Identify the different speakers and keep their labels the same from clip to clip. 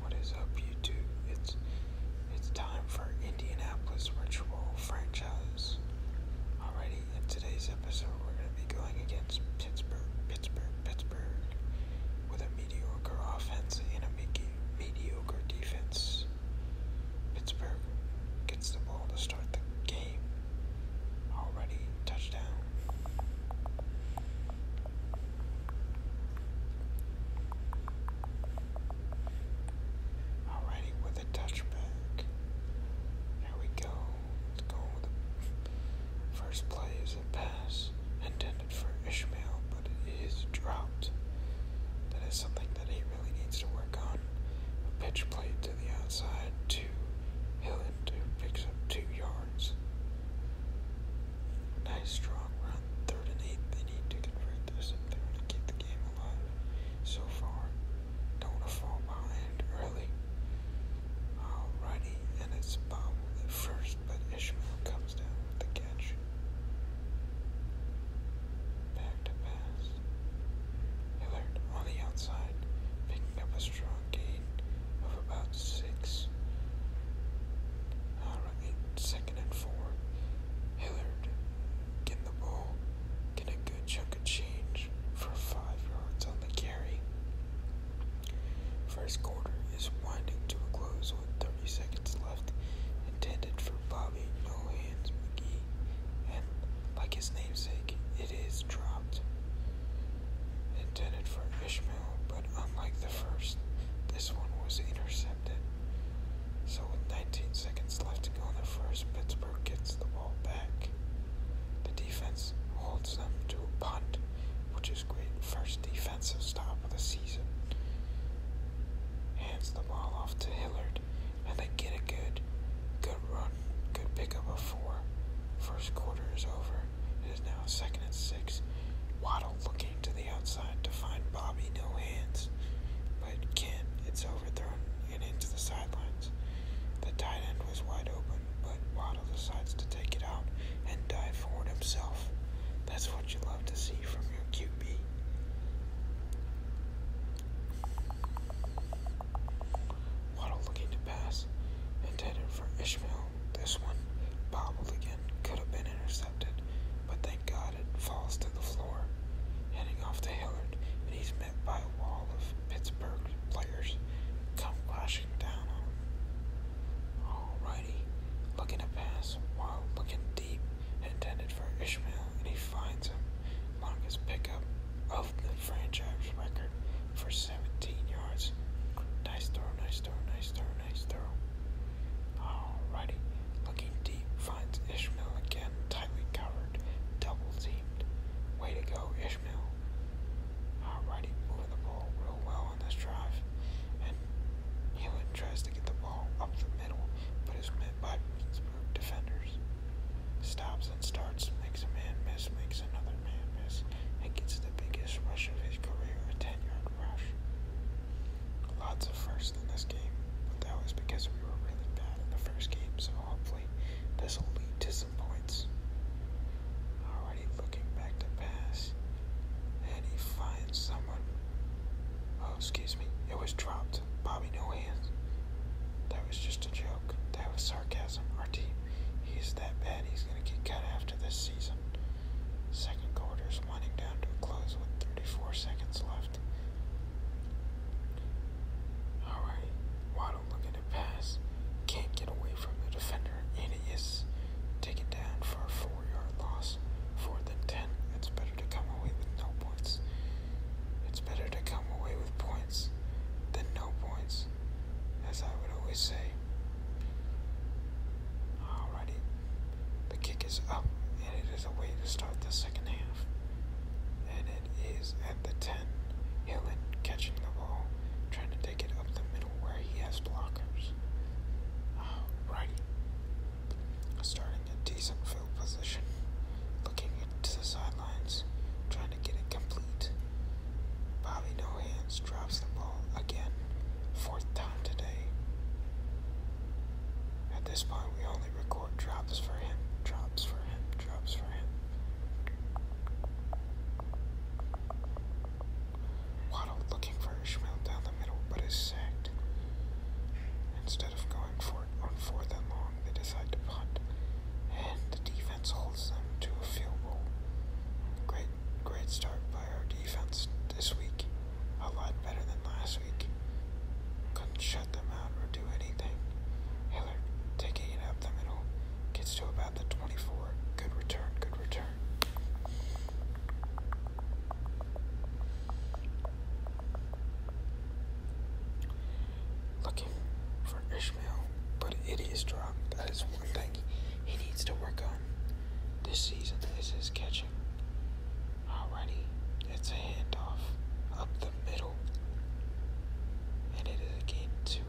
Speaker 1: What is up, YouTube? It's it's time for Indianapolis Ritual franchise. Already, in today's episode, we're gonna be going against Pittsburgh, Pittsburgh, Pittsburgh, with a mediocre offense and a mediocre defense. Pittsburgh gets the ball to start the game. Already touchdown. Alrighty, with a touchback. There we go. Let's go with the first play is a pass intended for Ishmael, but it is dropped. That is something that he really needs to work on. A pitch play to the outside to Hillen, who picks up two yards. Nice strong run, third and eighth. They need to convert this if they want to keep the game alive. So far, don't fall behind early. Alrighty, and it's Bob at first, but Ishmael comes down with the catch. Back to pass. Hillard on the outside, picking up a strong gain gain of about six. and four. Hillard getting the ball, get a good chunk of change for five yards on the carry. First quarter is winding to a close with 30 seconds left, intended for Bobby No Hands McGee, and like his namesake, it is dropped intended for Ishmael, but unlike the first, this one was intercepted. So, with 19 seconds left to go in the first, Pittsburgh gets the ball back. The defense holds them to a punt, which is great. First defensive stop of the season. Hands the ball off to Hillard, and they get a good, good run, good pickup of four. First quarter is over. It is now second and six. Waddle looking to the outside to find Bobby no hands, but Ken, it's overthrown and into the sidelines. The tight end was wide open, but Waddle decides to take it out and dive forward himself. That's what you love to see from your QB. Waddle looking to pass, intended for Ishmael, this one bobbled again, could have been intercepted, but thank God it falls to the floor. Heading off to Hillard, and he's met by a wall of Pittsburgh players come crashing down on him. Alrighty, looking to pass while looking deep, intended for Ishmael, and he finds him. Longest pickup of the franchise record for 17 yards. Nice turn, nice turn, nice turn next throw. Alrighty, looking deep, finds Ishmael again, tightly covered, double teamed. Way to go, Ishmael. Alrighty, moving the ball real well on this drive. And Hewlett tries to get the ball up the middle, but is met by Pittsburgh defenders. Stops and starts, makes a man miss, makes another man miss, and gets the biggest rush of his career at 10 yards. Lots of firsts in this game, but that was because we were really bad in the first game, so hopefully this will lead to some points. Already looking back to pass, and he finds someone. Oh, excuse me, it was dropped. Bobby No Hands. That was just a joke. That was sarcasm. Our team, he's that bad, he's gonna get cut after this season. Second quarter is winding down to a close with 34 seconds left. Alright, Waddle looking to pass. Can't get away from the defender, and it is taken down for a four yard loss. Four than 10. It's better to come away with no points. It's better to come away with points than no points as I would always say. Alrighty, the kick is up, and it is a way to start the second half. And it is at the 10, Hillen catching the ball, trying to take it up the middle where he has blockers. Alrighty, starting a decent field position, looking into the sidelines, trying to get it complete. Bobby No Hands drops the ball again, fourth time today. At this point, we only record drops for him, drops for him, drops for him. Waddle looking for Ishmael down the middle, but is sacked. Instead of going for on fourth and long, they decide to punt, and the defense holds them to a field goal. Great Great start by our defense this week. A lot better than last week. Couldn't shut them out or do anything. Hillard taking it up the middle. Gets to about the 24. Good return, good return. Looking for Ishmael, but it is dropped. That is one thing he needs to work on. This season, is his catching. Already, it's a handoff up the middle. And it is again two.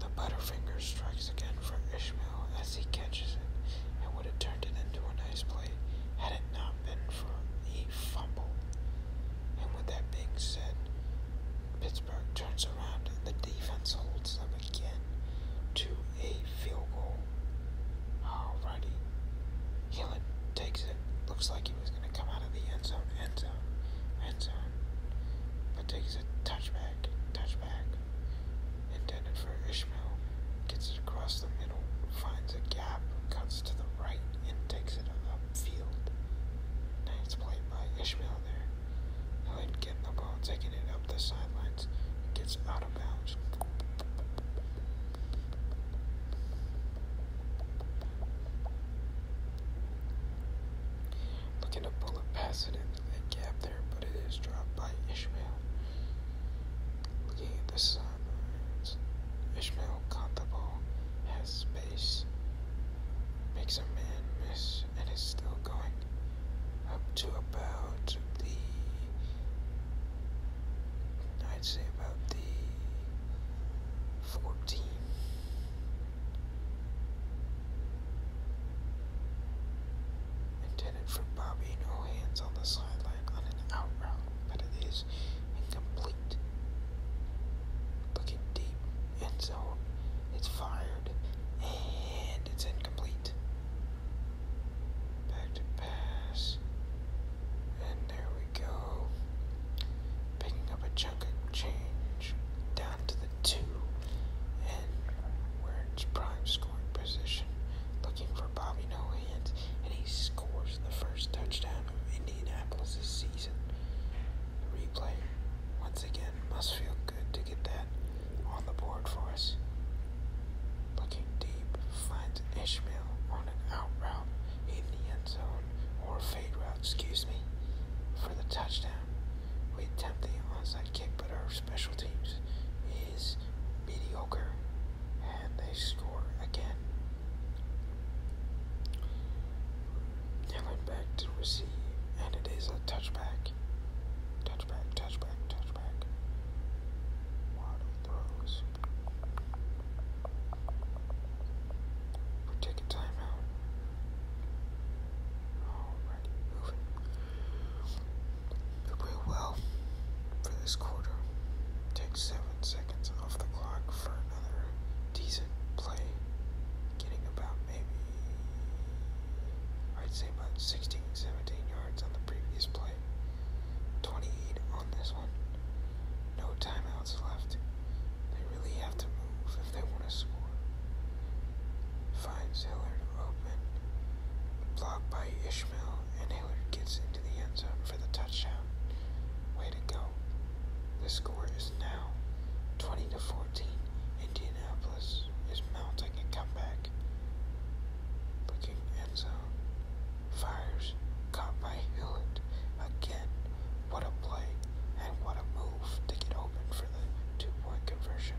Speaker 1: The Butterfinger strikes again for Ishmael as he catches it and would have turned it into a nice play had it not been for E fumble. And with that being said, Pittsburgh turns around and the defense holds them again to a field goal. Alrighty. Heelan takes it. Looks like he was going to come out of the end zone, end zone, But takes a touchback, touchback. Intended for Ishmael. Gets it across the middle, finds a gap, cuts to the right, and takes it upfield. Nice play by Ishmael there. Hood getting the ball, taking it up the sidelines, gets out of bounds. Looking to pull it past into the gap there, but it is dropped by Ishmael. Looking this Ishmael caught has space, makes a man miss, and is still going up to about the, I'd say about the 14. Intended for Bobby, no hands on the sideline on an out route, but it is incomplete. Looking deep end zone. It's fired and it's incomplete. Back to pass. And there we go. Picking up a chunk of change down to the two. And we're in prime scoring position. Looking for Bobby Noah and he scores the first touchdown of Indianapolis season. replay, once again, must feel good to get that on the board for us. Looking deep, finds Ishmael on an out route in the end zone, or fade route, excuse me, for the touchdown. We attempt the onside kick, but our special teams is mediocre and they score again. They back to receive, and it is a touchback. Touchback, touchback, touchback. Waddle throws. We take a timeout. Alrighty, moving. We play for this quarter. Take seven seconds off the clock for another decent play. Getting about maybe, I'd say about 16, 17 yards on the previous play. 28 on this one. No timeouts left. They really have to move if they want to score. Finds to open. Blocked by Ishmael, and Hillard gets it into the end zone for the touchdown. Way to go. The score is now 20 to 14. Indianapolis is mounting a comeback. Looking end zone. Fires. Caught by Hewlett. Again. What a play. And what a move to get open for the two point conversion.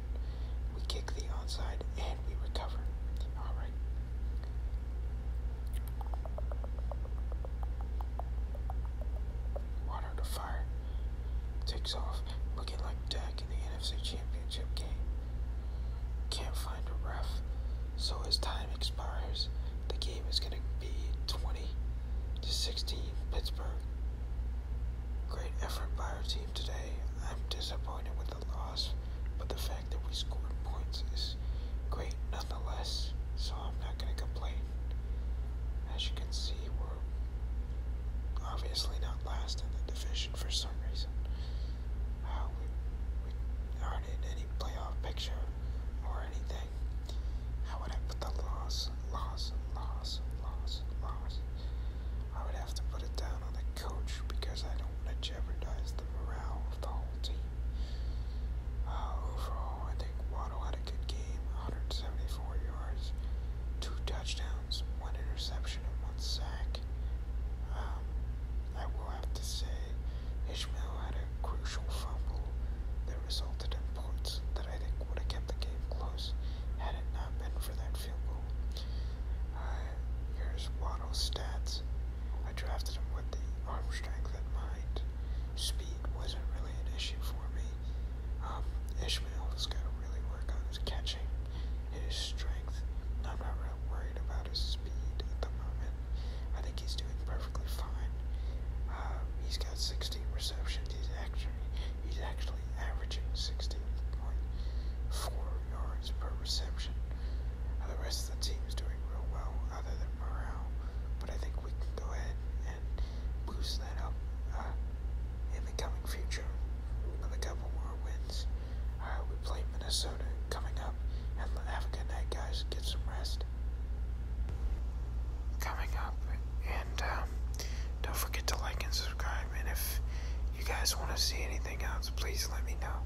Speaker 1: We kick the onside and we recover. Alright. Water to fire takes off, looking like Dak in the NFC Championship game. Can't find a ref, so as time expires, the game is going to be 20 to 16 Pittsburgh. Great effort by our team today. I'm disappointed with the loss, but the fans that we scored points is great nonetheless, so I'm not going to complain. As you can see, we're obviously not last in the division for some reason. Uh, we, we aren't in any playoff picture or anything. I would have put the loss, loss, loss, loss, loss. I would have to put it down on the coach because I don't want to jeopardize the morale of the whole team. Uh, overall, I think Waddle had a good game 174 yards, two touchdowns, one interception, and one sack. Um, I will have to say, Ishmael had a crucial fumble that resulted in points that I think would have kept the game close had it not been for that fumble. goal. Uh, here's Waddle's stats. I drafted him with the arm strength in mind. Speed wasn't really an issue for me. Um, Ishmael has got to really work on his catching his strength. I'm not really worried about his speed at the moment. I think he's doing perfectly fine. Uh, he's got 16 receptions. He's actually he's actually averaging 16.4 yards per reception, the rest of the team is doing real well, other than morale. But I think we can go ahead and boost that up uh, in the coming future with couple more wins. Uh, we play Minnesota coming up, and have a good night, guys. Get some rest. Coming up, and um, don't forget to like and subscribe. And if you guys want to see anything else, please let me know.